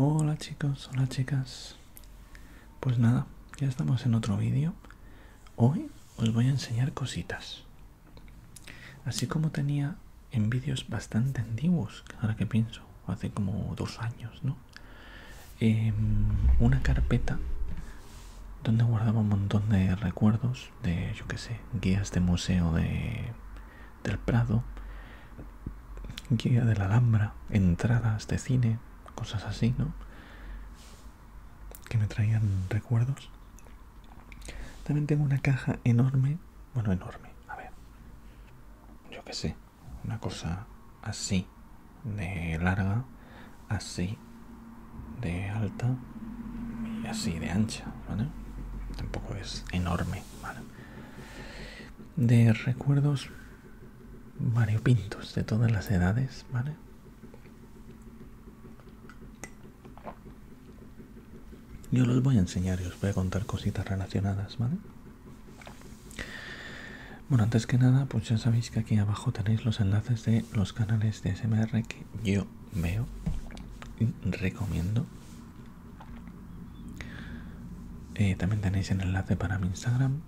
Hola chicos, hola chicas. Pues nada, ya estamos en otro vídeo. Hoy os voy a enseñar cositas. Así como tenía en vídeos bastante antiguos, ahora que pienso, hace como dos años, ¿no? Em, una carpeta donde guardaba un montón de recuerdos de, yo que sé, guías de museo de del Prado, guía de la Alhambra, entradas de cine, cosas así, ¿no? Que me traían recuerdos. También tengo una caja enorme, bueno, enorme, a ver, yo qué sé, una cosa así de larga, así de alta y así de ancha, ¿vale? Tampoco es enorme, ¿vale? de recuerdos variopintos de todas las edades, ¿vale? Yo los voy a enseñar y os voy a contar cositas relacionadas, ¿vale? Bueno, antes que nada, pues ya sabéis que aquí abajo tenéis los enlaces de los canales de SMR que yo veo y recomiendo, eh, también tenéis el enlace para mi Instagram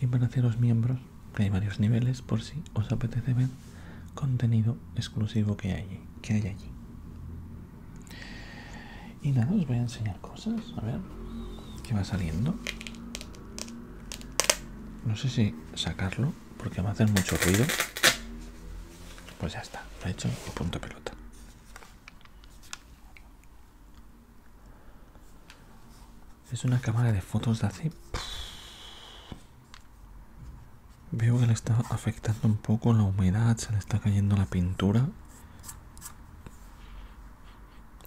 y para haceros miembros, que hay varios niveles por si os apetece ver contenido exclusivo que hay, que hay allí. Y nada, os voy a enseñar cosas, a ver qué va saliendo. No sé si sacarlo porque va a hacer mucho ruido. Pues ya está, lo he hecho un punto pelota. Es una cámara de fotos de hace... Veo que le está afectando un poco la humedad, se le está cayendo la pintura.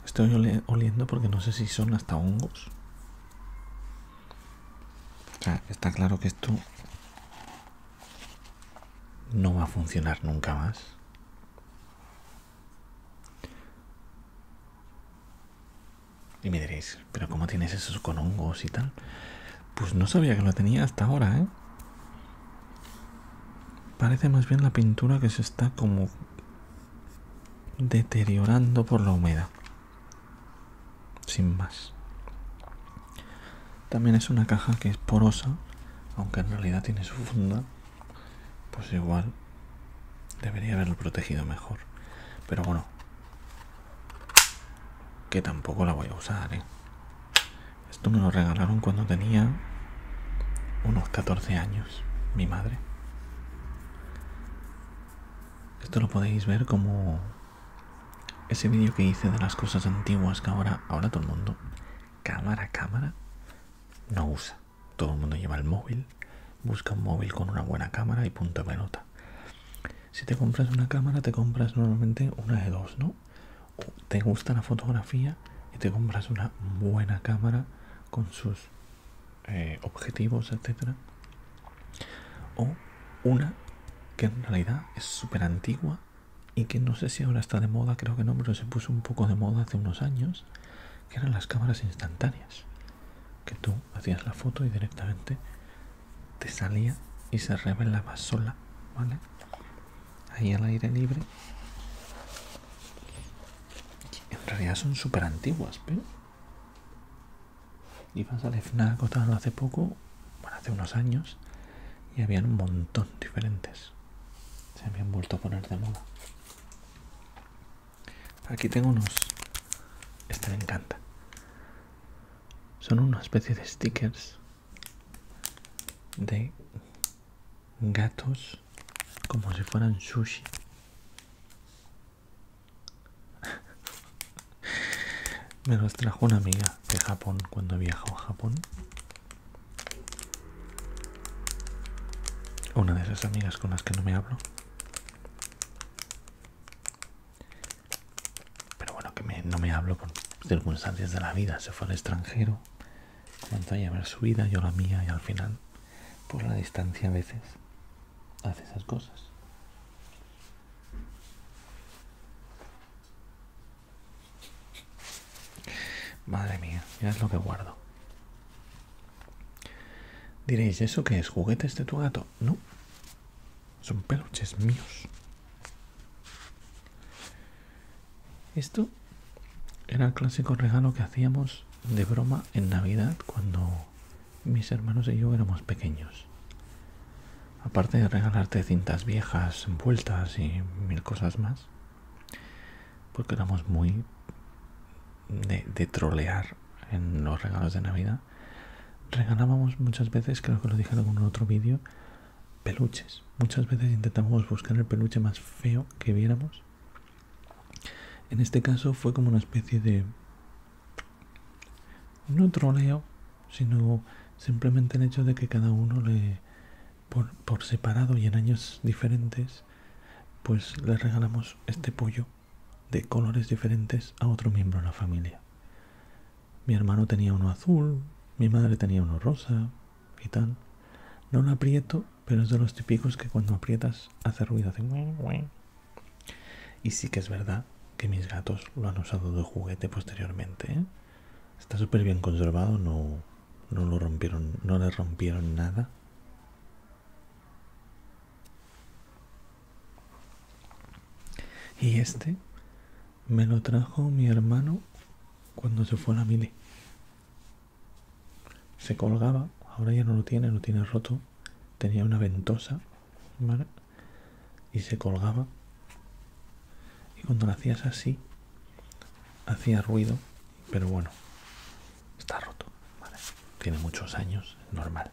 Estoy oliendo porque no sé si son hasta hongos. está claro que esto no va a funcionar nunca más. Y me diréis, ¿pero cómo tienes esos con hongos y tal? Pues no sabía que lo tenía hasta ahora, ¿eh? Parece más bien la pintura que se está como deteriorando por la humedad. Sin más. También es una caja que es porosa, aunque en realidad tiene su funda, pues igual debería haberlo protegido mejor. Pero bueno, que tampoco la voy a usar, ¿eh? Esto me lo regalaron cuando tenía unos 14 años, mi madre. Esto lo podéis ver como ese vídeo que hice de las cosas antiguas que ahora, ahora todo el mundo, cámara, cámara, no usa. Todo el mundo lleva el móvil, busca un móvil con una buena cámara y punto de pelota. Si te compras una cámara, te compras normalmente una de dos, ¿no? te gusta la fotografía y te compras una buena cámara con sus eh, objetivos, etcétera. O una que en realidad es súper antigua y que no sé si ahora está de moda, creo que no, pero se puso un poco de moda hace unos años, que eran las cámaras instantáneas, que tú hacías la foto y directamente te salía y se revelaba sola, ¿vale? Ahí al aire libre. En realidad son súper antiguas, pero... Ibas al FNAC o hace poco, bueno, hace unos años, y habían un montón diferentes. Se habían vuelto a poner de moda. Aquí tengo unos... Este me encanta. Son una especie de stickers de gatos como si fueran sushi me los trajo una amiga de Japón cuando viajó a Japón. Una de esas amigas con las que no me hablo. Pero bueno, que no me hablo por circunstancias de la vida. Se fue al extranjero, comenzó a llevar su vida, yo la mía, y al final, por pues la distancia a veces, hace esas cosas. Madre mía, es lo que guardo. Diréis, ¿eso que es? ¿Juguetes de tu gato? No. Son peluches míos. Esto era el clásico regalo que hacíamos de broma en Navidad cuando mis hermanos y yo éramos pequeños aparte de regalarte cintas viejas envueltas y mil cosas más, porque éramos muy de, trolear en los regalos de Navidad, regalábamos muchas veces, creo que lo dije en otro vídeo, peluches. Muchas veces intentábamos buscar el peluche más feo que viéramos. En este caso fue como una especie de... No troleo, sino simplemente el hecho de que cada uno le, por, por separado y en años diferentes, pues le regalamos este pollo de colores diferentes a otro miembro de la familia. Mi hermano tenía uno azul, mi madre tenía uno rosa y tal. No lo aprieto, pero es de los típicos que cuando aprietas hace ruido, hace... Y sí que es verdad que mis gatos lo han usado de juguete posteriormente. ¿eh? Está súper bien conservado, no, no lo rompieron, no le rompieron nada. Y este me lo trajo mi hermano cuando se fue a la mili. Se colgaba, ahora ya no lo tiene, lo tiene roto. Tenía una ventosa, y se colgaba y cuando lo hacías así hacía ruido pero bueno está roto tiene muchos años normal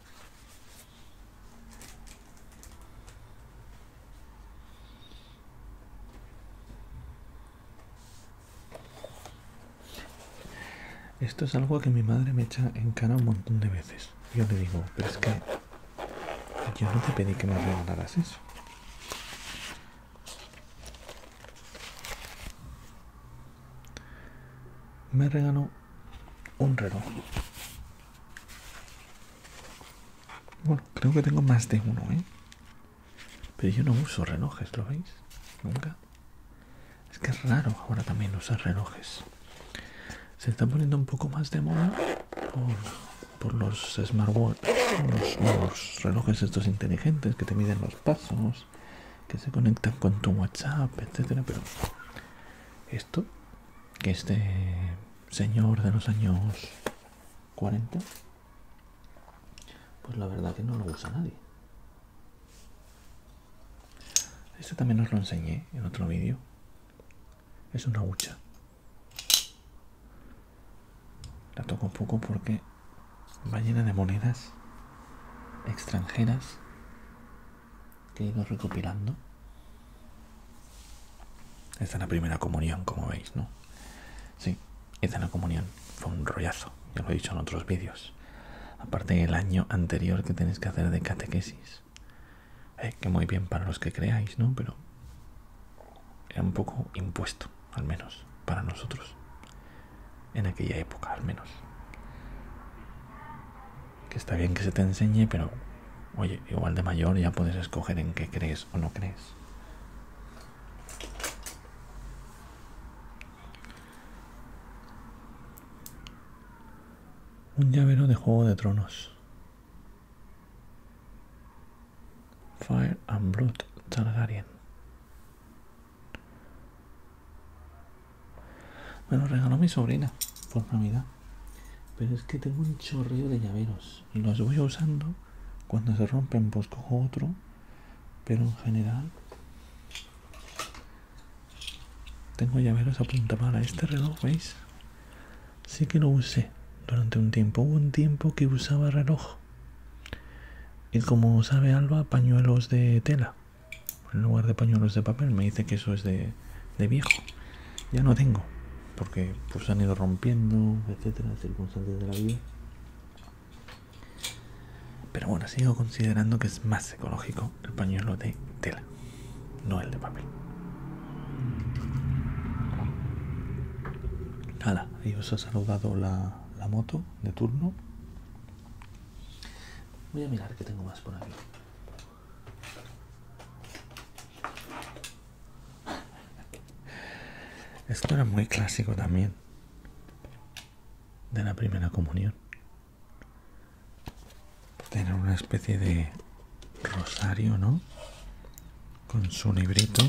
esto es algo que mi madre me echa en cara un montón de veces yo le digo pero es que yo no te pedí que me regalaras eso. Me regaló un reloj. Bueno, creo que tengo más de uno, ¿eh? Pero yo no uso relojes, ¿lo veis? Nunca. Es que es raro ahora también usar relojes. Se está poniendo un poco más de moda por los smartwatches, los, relojes estos inteligentes que te miden los pasos, que se conectan con tu WhatsApp, etcétera, pero esto que este señor de los años 40 pues la verdad que no lo usa nadie. Este también os lo enseñé en otro vídeo. Es una hucha. La toco poco porque va llena de monedas extranjeras que he ido recopilando. Esta es la primera comunión, como veis, ¿no? Sí, esta es la comunión. Fue un rollazo, ya lo he dicho en otros vídeos. Aparte el año anterior que tenéis que hacer de catequesis. Eh, que muy bien para los que creáis, ¿no? Pero era un poco impuesto, al menos, para nosotros, en aquella época, al menos. Que está bien que se te enseñe, pero, oye, igual de mayor ya puedes escoger en qué crees o no crees. Un llavero de Juego de Tronos. Fire and Blood Targaryen. Me lo regaló mi sobrina por Navidad. Pero es que tengo un chorreo de llaveros. Los voy usando. Cuando se rompen, pues cojo otro. Pero en general. Tengo llaveros a punta para este reloj, ¿veis? Sí que lo usé durante un tiempo. Hubo un tiempo que usaba reloj. Y como sabe Alba, pañuelos de tela. En lugar de pañuelos de papel, me dice que eso es de, viejo. Ya no tengo. Porque pues han ido rompiendo, etcétera, circunstancias de la vida. Pero bueno, sigo considerando que es más ecológico el pañuelo de tela no el de papel. Nada, ahí os ha saludado la, la moto de turno. Voy a mirar que tengo más por aquí. Esto era muy clásico también de la primera comunión tener una especie de rosario, ¿no? Con su librito.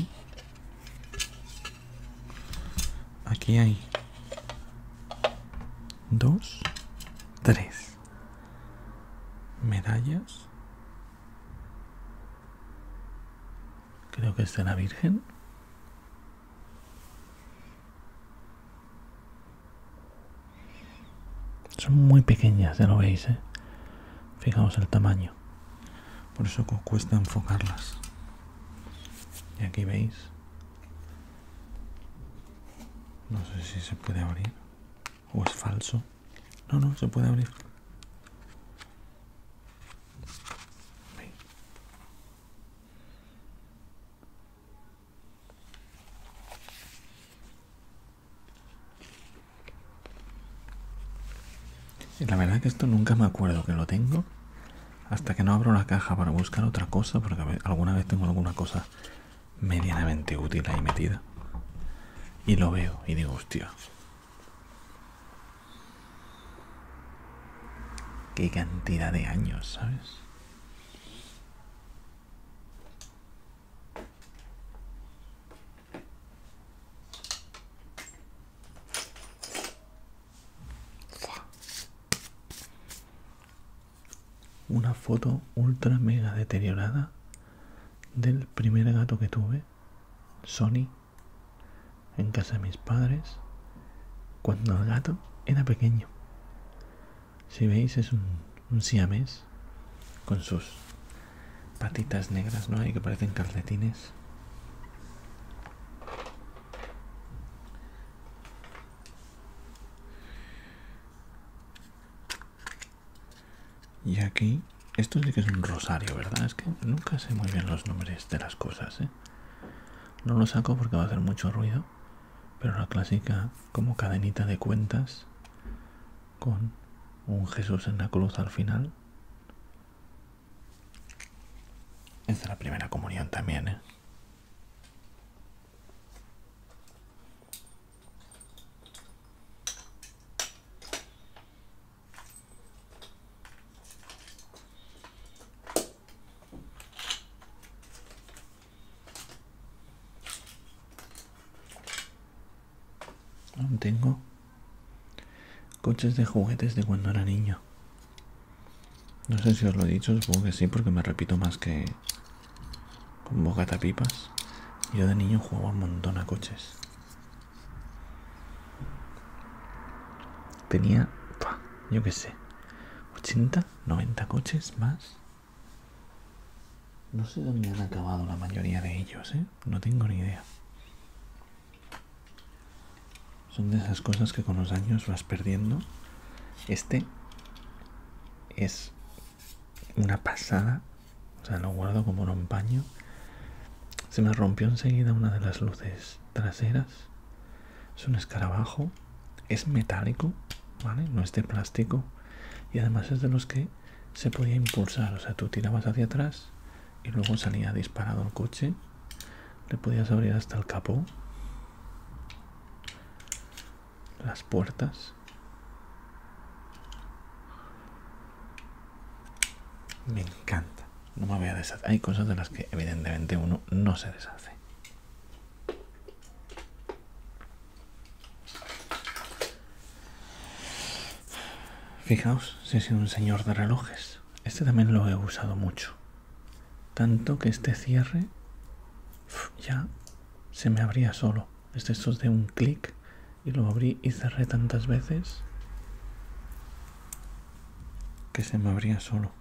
Aquí hay dos, tres medallas. Creo que es de la Virgen. Son muy pequeñas, ya lo veis, ¿eh? Fijaos el tamaño. Por eso cuesta enfocarlas. Y aquí veis. No sé si se puede abrir. O es falso. No, no, se puede abrir. Y la verdad que esto nunca me acuerdo que lo tengo hasta que no abro la caja para buscar otra cosa, porque alguna vez tengo alguna cosa medianamente útil ahí metida. Y lo veo y digo, hostia. Qué cantidad de años, ¿sabes? Una foto ultra mega deteriorada del primer gato que tuve, Sony, en casa de mis padres, cuando el gato era pequeño. Si veis, es un, siames con sus patitas negras, ¿no? Y que parecen calcetines. Y aquí, esto sí que es un rosario, ¿verdad? Es que nunca sé muy bien los nombres de las cosas, ¿eh? No lo saco porque va a hacer mucho ruido, pero la clásica como cadenita de cuentas con un Jesús en la cruz al final. Es la primera comunión también, ¿eh? tengo coches de juguetes de cuando era niño. No sé si os lo he dicho, supongo que sí, porque me repito más que con bocata pipas. Yo de niño jugaba un montón a coches. Tenía, yo qué sé, 80, 90 coches más. No sé dónde han acabado la mayoría de ellos, ¿eh? No tengo ni idea. Son de esas cosas que con los años vas perdiendo. Este es una pasada. O sea, lo guardo como un paño. Se me rompió enseguida una de las luces traseras. Es un escarabajo. Es metálico, ¿vale? No es de plástico. Y además es de los que se podía impulsar, o sea, tú tirabas hacia atrás y luego salía disparado el coche, le podías abrir hasta el capó, las puertas. Me encanta, no me voy a deshacer. Hay cosas de las que evidentemente uno no se deshace. Fijaos, si es un señor de relojes. Este también lo he usado mucho. Tanto que este cierre ya se me abría solo. Este es de un clic y lo abrí y cerré tantas veces que se me abría solo.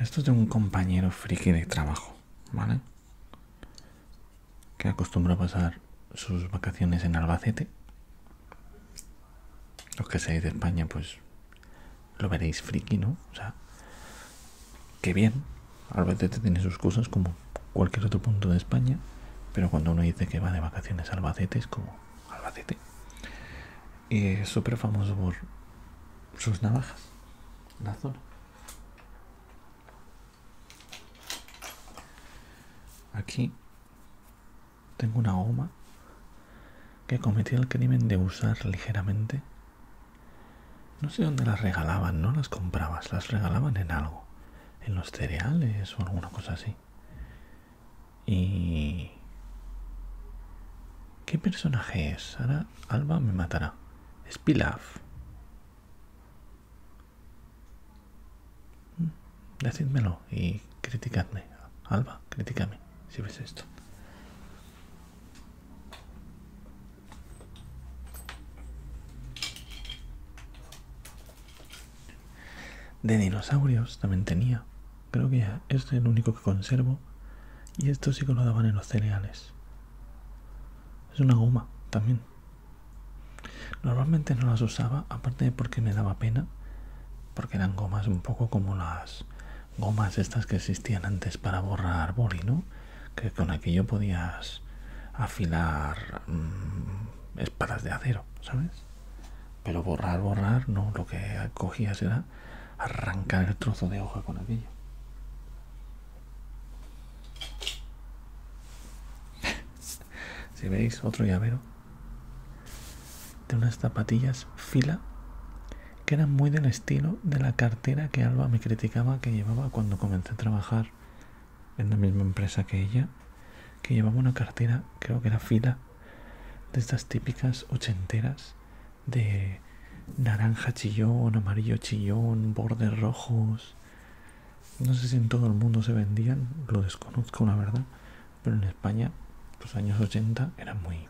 Esto es de un compañero friki de trabajo, ¿vale? Que acostumbra a pasar sus vacaciones en Albacete, los que seáis de España, pues lo veréis friki, ¿no? O sea, que bien. Albacete tiene sus cosas como cualquier otro punto de España, pero cuando uno dice que va de vacaciones a Albacete es como Albacete. Y es súper famoso por sus navajas, la zona. Aquí tengo una goma que cometí el crimen de usar ligeramente. No sé dónde las regalaban, no las comprabas, las regalaban en algo, en los cereales o alguna cosa así. Y... ¿Qué personaje es? Ahora Alba me matará. Es decídmelo y criticadme. Alba, críticame, si ves esto. De dinosaurios también tenía. Creo que es el único que conservo. Y esto sí que lo daban en los cereales. Es una goma también. Normalmente no las usaba, aparte de porque me daba pena porque eran gomas un poco como las gomas estas que existían antes para borrar boli, ¿no? Que con aquello podías afilar mm, espadas de acero, ¿sabes? Pero borrar, borrar, no, lo que cogías era arrancar el trozo de hoja con aquello. si veis, otro llavero de unas zapatillas fila que eran muy del estilo de la cartera que Alba me criticaba que llevaba cuando comencé a trabajar en la misma empresa que ella, que llevaba una cartera, creo que era fila, de estas típicas ochenteras de naranja chillón, amarillo chillón, bordes rojos. No sé si en todo el mundo se vendían, lo desconozco la verdad, pero en España los años 80 era muy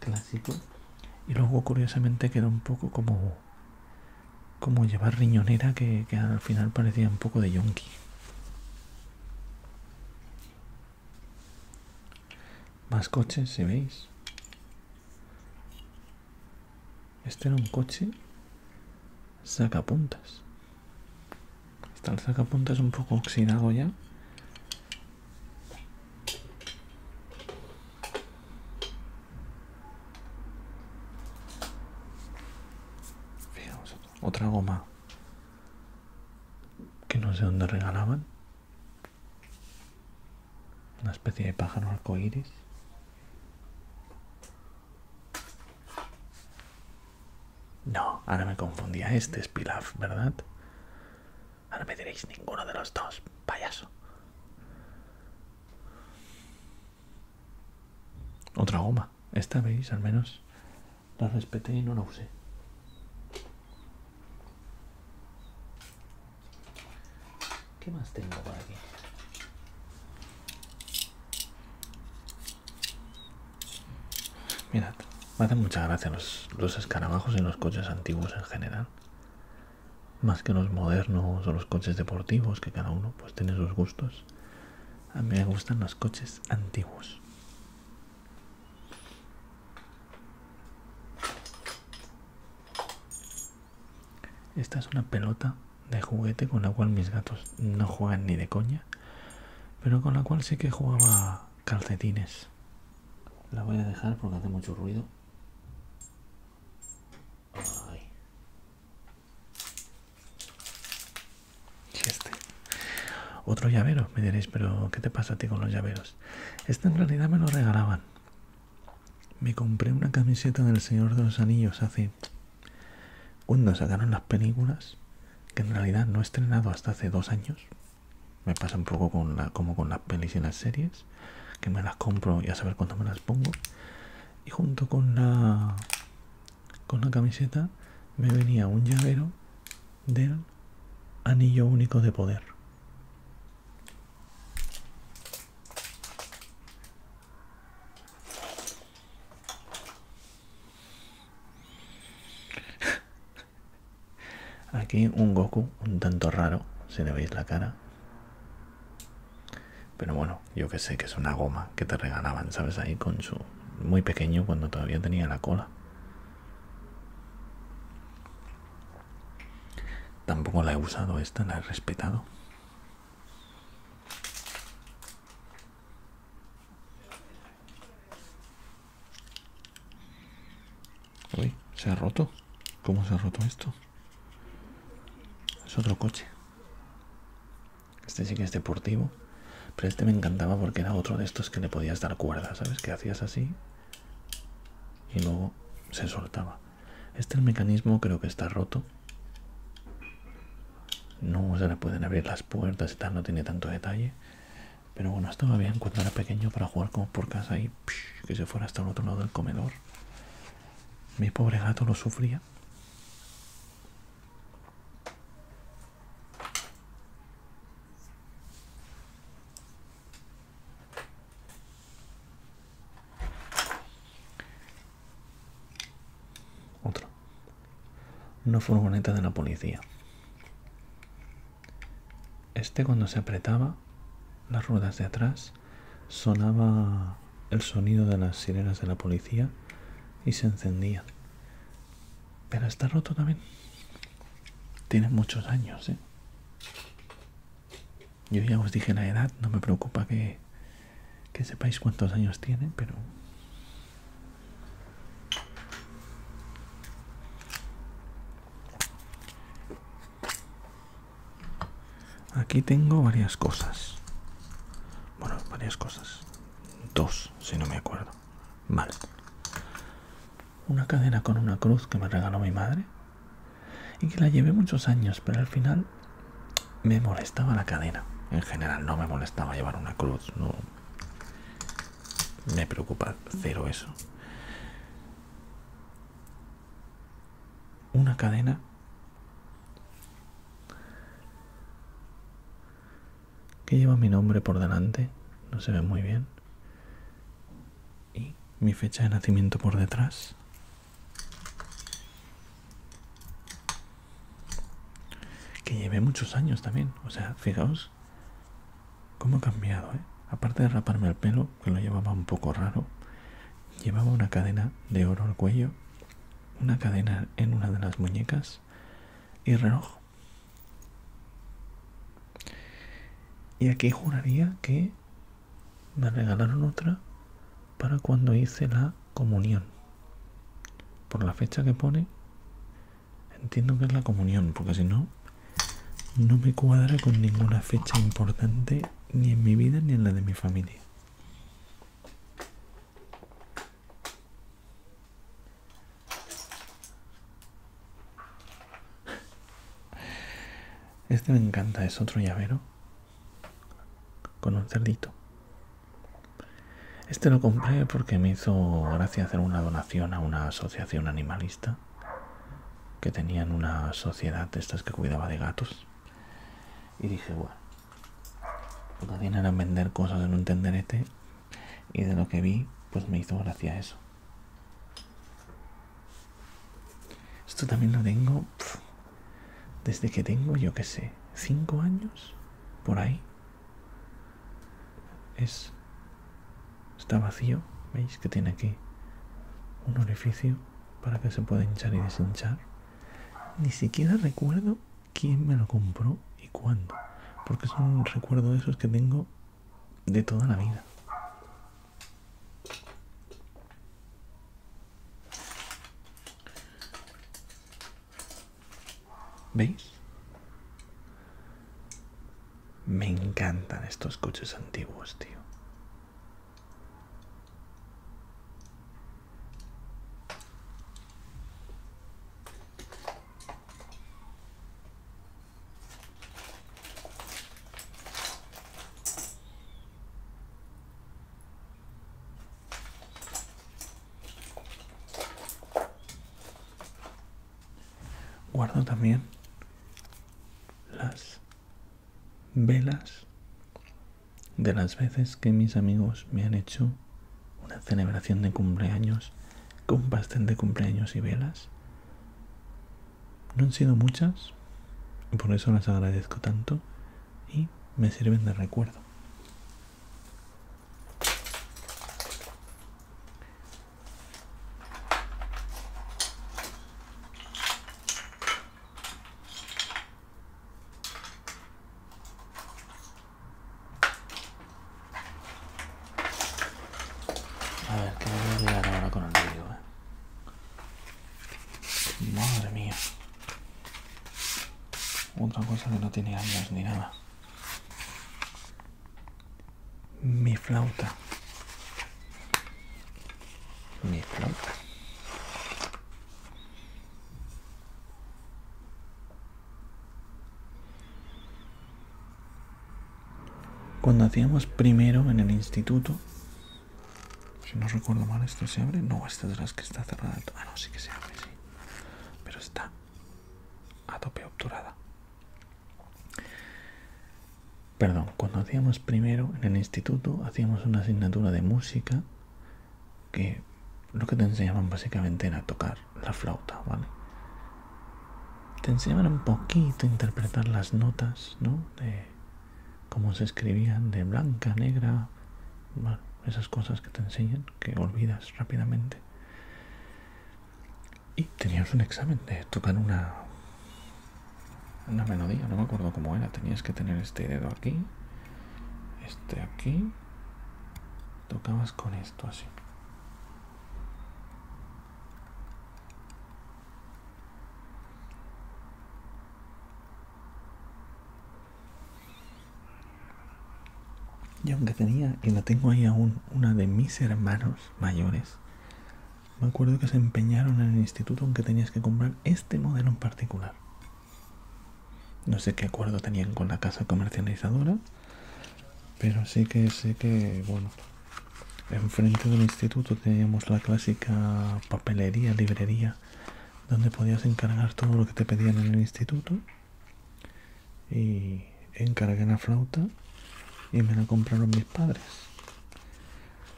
clásico y luego curiosamente quedó un poco como como llevar riñonera que, que al final parecía un poco de yonki más coches si veis este era un coche sacapuntas Está el es un poco oxidado ya. otra goma que no sé dónde regalaban. Una especie de pájaro arcoíris. No, ahora me confundía. Este es Pilaf, ¿verdad? Ahora me diréis ninguno de los dos, payaso. Otra goma. Esta, veis, al menos la respeté y no la usé. ¿Qué más tengo por aquí? Mirad, me hacen mucha gracia los, escarabajos y los coches antiguos en general. Más que los modernos o los coches deportivos, que cada uno pues tiene sus gustos. A mí me gustan los coches antiguos. Esta es una pelota de juguete con la cual mis gatos no juegan ni de coña pero con la cual sí que jugaba calcetines la voy a dejar porque hace mucho ruido Ay. Este. Otro llavero, me diréis, pero ¿qué te pasa a ti con los llaveros? Este en realidad me lo regalaban. Me compré una camiseta del Señor de los Anillos hace... Cuando sacaron las películas, que en realidad no he estrenado hasta hace dos años. Me pasa un poco con como con las pelis y las series, que me las compro y a saber cuándo me las pongo. Y junto con la, con la camiseta me venía un llavero del anillo único de poder. Aquí un Goku un tanto raro, si le veis la cara. Pero bueno, yo que sé que es una goma que te regalaban, ¿sabes? Ahí con su... Muy pequeño cuando todavía tenía la cola. Tampoco la he usado esta, la he respetado. Uy, se ha roto. ¿Cómo se ha roto esto? Es otro coche. Este sí que es deportivo. Pero este me encantaba porque era otro de estos que le podías dar cuerda, ¿sabes? Que hacías así y luego se soltaba. Este el mecanismo creo que está roto no se le pueden abrir las puertas y no tiene tanto detalle. Pero bueno, estaba bien cuando era pequeño para jugar como por casa y que se fuera hasta el otro lado del comedor. Mi pobre gato lo sufría. Otro. Una furgoneta de la policía. Este cuando se apretaba las ruedas de atrás sonaba el sonido de las sirenas de la policía y se encendía. Pero está roto también. Tiene muchos años, ¿eh? Yo ya os dije la edad, no me preocupa que, que sepáis cuántos años tiene, pero Aquí tengo varias cosas. Bueno, varias cosas. Dos, si no me acuerdo. Vale. Una cadena con una cruz que me regaló mi madre. Y que la llevé muchos años, pero al final me molestaba la cadena. En general no me molestaba llevar una cruz. No, me preocupa cero eso. Una cadena que lleva mi nombre por delante, no se ve muy bien. Y mi fecha de nacimiento por detrás que llevé muchos años también o sea fijaos cómo ha cambiado ¿eh? aparte de raparme el pelo que lo llevaba un poco raro llevaba una cadena de oro al cuello una cadena en una de las muñecas y reloj y aquí juraría que me regalaron otra para cuando hice la comunión. Por la fecha que pone, entiendo que es la comunión, porque si no, no me cuadra con ninguna fecha importante ni en mi vida ni en la de mi familia. Este me encanta, es otro llavero con un cerdito. Este lo compré porque me hizo gracia hacer una donación a una asociación animalista que tenían una sociedad de estas que cuidaba de gatos. Y dije, bueno, lo que tienen vender cosas en un tenderete y de lo que vi, pues me hizo gracia eso. Esto también lo tengo desde que tengo, yo qué sé, cinco años por ahí es está vacío veis que tiene aquí un orificio para que se pueda hinchar y deshinchar ni siquiera recuerdo quién me lo compró y cuándo porque son recuerdos de esos que tengo de toda la vida ¿Veis? Me encantan estos coches antiguos, tío. Guardo también las velas de las veces que mis amigos me han hecho una celebración de cumpleaños con pastel de cumpleaños y velas. No han sido muchas y por eso las agradezco tanto, y me sirven de recuerdo. A ver, que me voy a llegar ahora con el video ¿eh? Madre mía. Otra cosa que no tiene años ni nada. Mi flauta. Mi flauta. Cuando hacíamos primero en el instituto, si no recuerdo mal, ¿esto se abre? No, esta es la que está cerrada. Ah, no, sí que se abre, sí pero está a tope obturada. Perdón, cuando hacíamos primero en el instituto hacíamos una asignatura de música que lo que te enseñaban básicamente era tocar la flauta, ¿vale? Te enseñaban un poquito a interpretar las notas, ¿no? De cómo se escribían de blanca, negra, esas cosas que te enseñan, que olvidas rápidamente. Y tenías un examen de tocar una, una melodía, no me acuerdo cómo era, tenías que tener este dedo aquí, este aquí, tocabas con esto así. Y aunque tenía, y la tengo ahí aún, una de mis hermanos mayores, me acuerdo que se empeñaron en el instituto aunque tenías que comprar este modelo en particular. No sé qué acuerdo tenían con la casa comercializadora, pero sí que sé que, bueno, enfrente del instituto teníamos la clásica papelería, librería, donde podías encargar todo lo que te pedían en el instituto y encargué la flauta y me la compraron mis padres.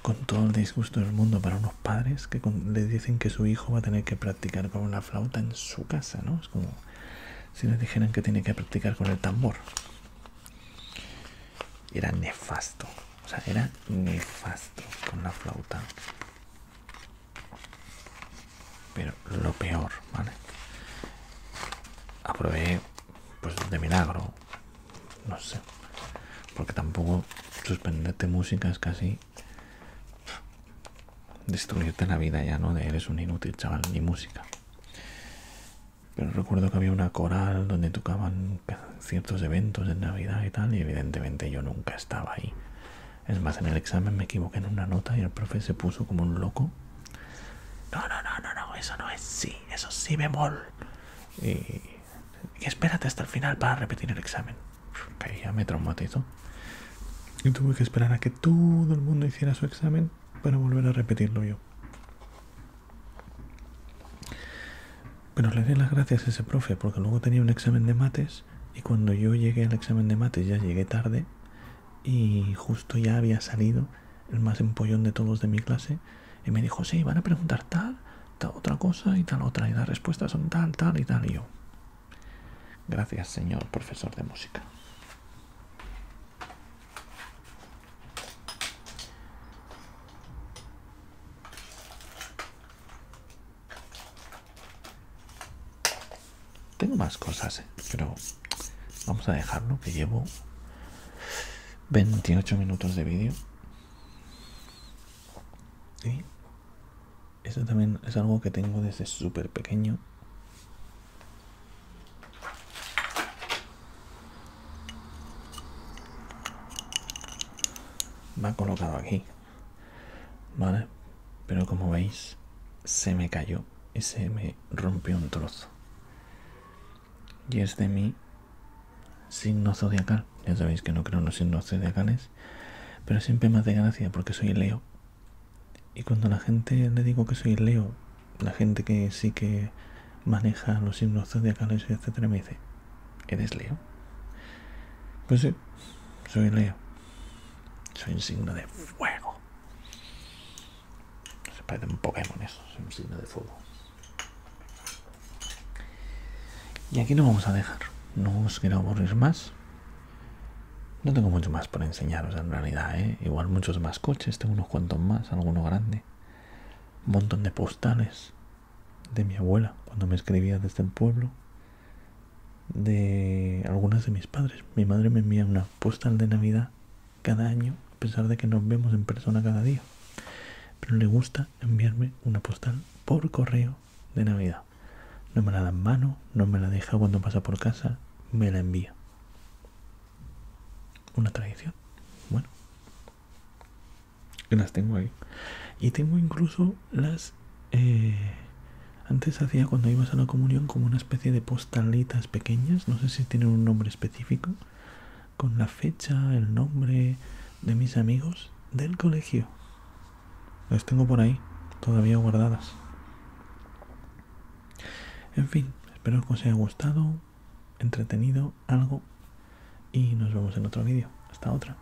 Con todo el disgusto del mundo para unos padres que les dicen que su hijo va a tener que practicar con la flauta en su casa, ¿no? Es como si les dijeran que tiene que practicar con el tambor. Era nefasto, o sea, era nefasto con la flauta. Pero lo peor, ¿vale? Aprove pues de milagro, no sé, porque tampoco suspenderte música es casi destruirte la vida ya, ¿no? De eres un inútil, chaval, ni música. Pero recuerdo que había una coral donde tocaban ciertos eventos de Navidad y tal, y evidentemente yo nunca estaba ahí. Es más, en el examen me equivoqué en una nota y el profe se puso como un loco. No, no, no, no, no, eso no es sí, eso sí bemol. Y, y espérate hasta el final para repetir el examen. Que ya me traumatizó. Y tuve que esperar a que todo el mundo hiciera su examen para volver a repetirlo yo. Pero le di las gracias a ese profe porque luego tenía un examen de mates y cuando yo llegué al examen de mates ya llegué tarde y justo ya había salido el más empollón de todos de mi clase y me dijo, sí, van a preguntar tal, tal otra cosa y tal otra y las respuestas son tal, tal y tal y yo. Gracias, señor profesor de música. Tengo más cosas, eh, pero vamos a dejarlo que llevo 28 minutos de vídeo. Y eso también es algo que tengo desde súper pequeño. Me ha colocado aquí. ¿Vale? Pero como veis, se me cayó y se me rompió un trozo. Y es de mi signo zodiacal. Ya sabéis que no creo en los signos zodiacales. Pero siempre más de gracia porque soy Leo. Y cuando la gente le digo que soy Leo, la gente que sí que maneja los signos zodiacales, etc. me dice, ¿eres Leo? Pues sí, soy Leo. Soy un signo de fuego. Se parece un Pokémon eso, soy un signo de fuego. Y aquí no vamos a dejar. No os quiero aburrir más. No tengo mucho más por enseñaros en realidad, ¿eh? Igual muchos más coches, tengo unos cuantos más, alguno grande. Un montón de postales de mi abuela cuando me escribía desde el pueblo de algunas de mis padres. Mi madre me envía una postal de Navidad cada año, a pesar de que nos vemos en persona cada día. Pero le gusta enviarme una postal por correo de Navidad. No me la da en mano, no me la deja cuando pasa por casa, me la envía. Una tradición. Bueno. Las tengo ahí. Y tengo incluso las... Eh, antes hacía cuando ibas a la comunión como una especie de postalitas pequeñas, no sé si tienen un nombre específico, con la fecha, el nombre de mis amigos del colegio. Las tengo por ahí, todavía guardadas. En fin, espero que os haya gustado, entretenido, algo, y nos vemos en otro vídeo. Hasta otra.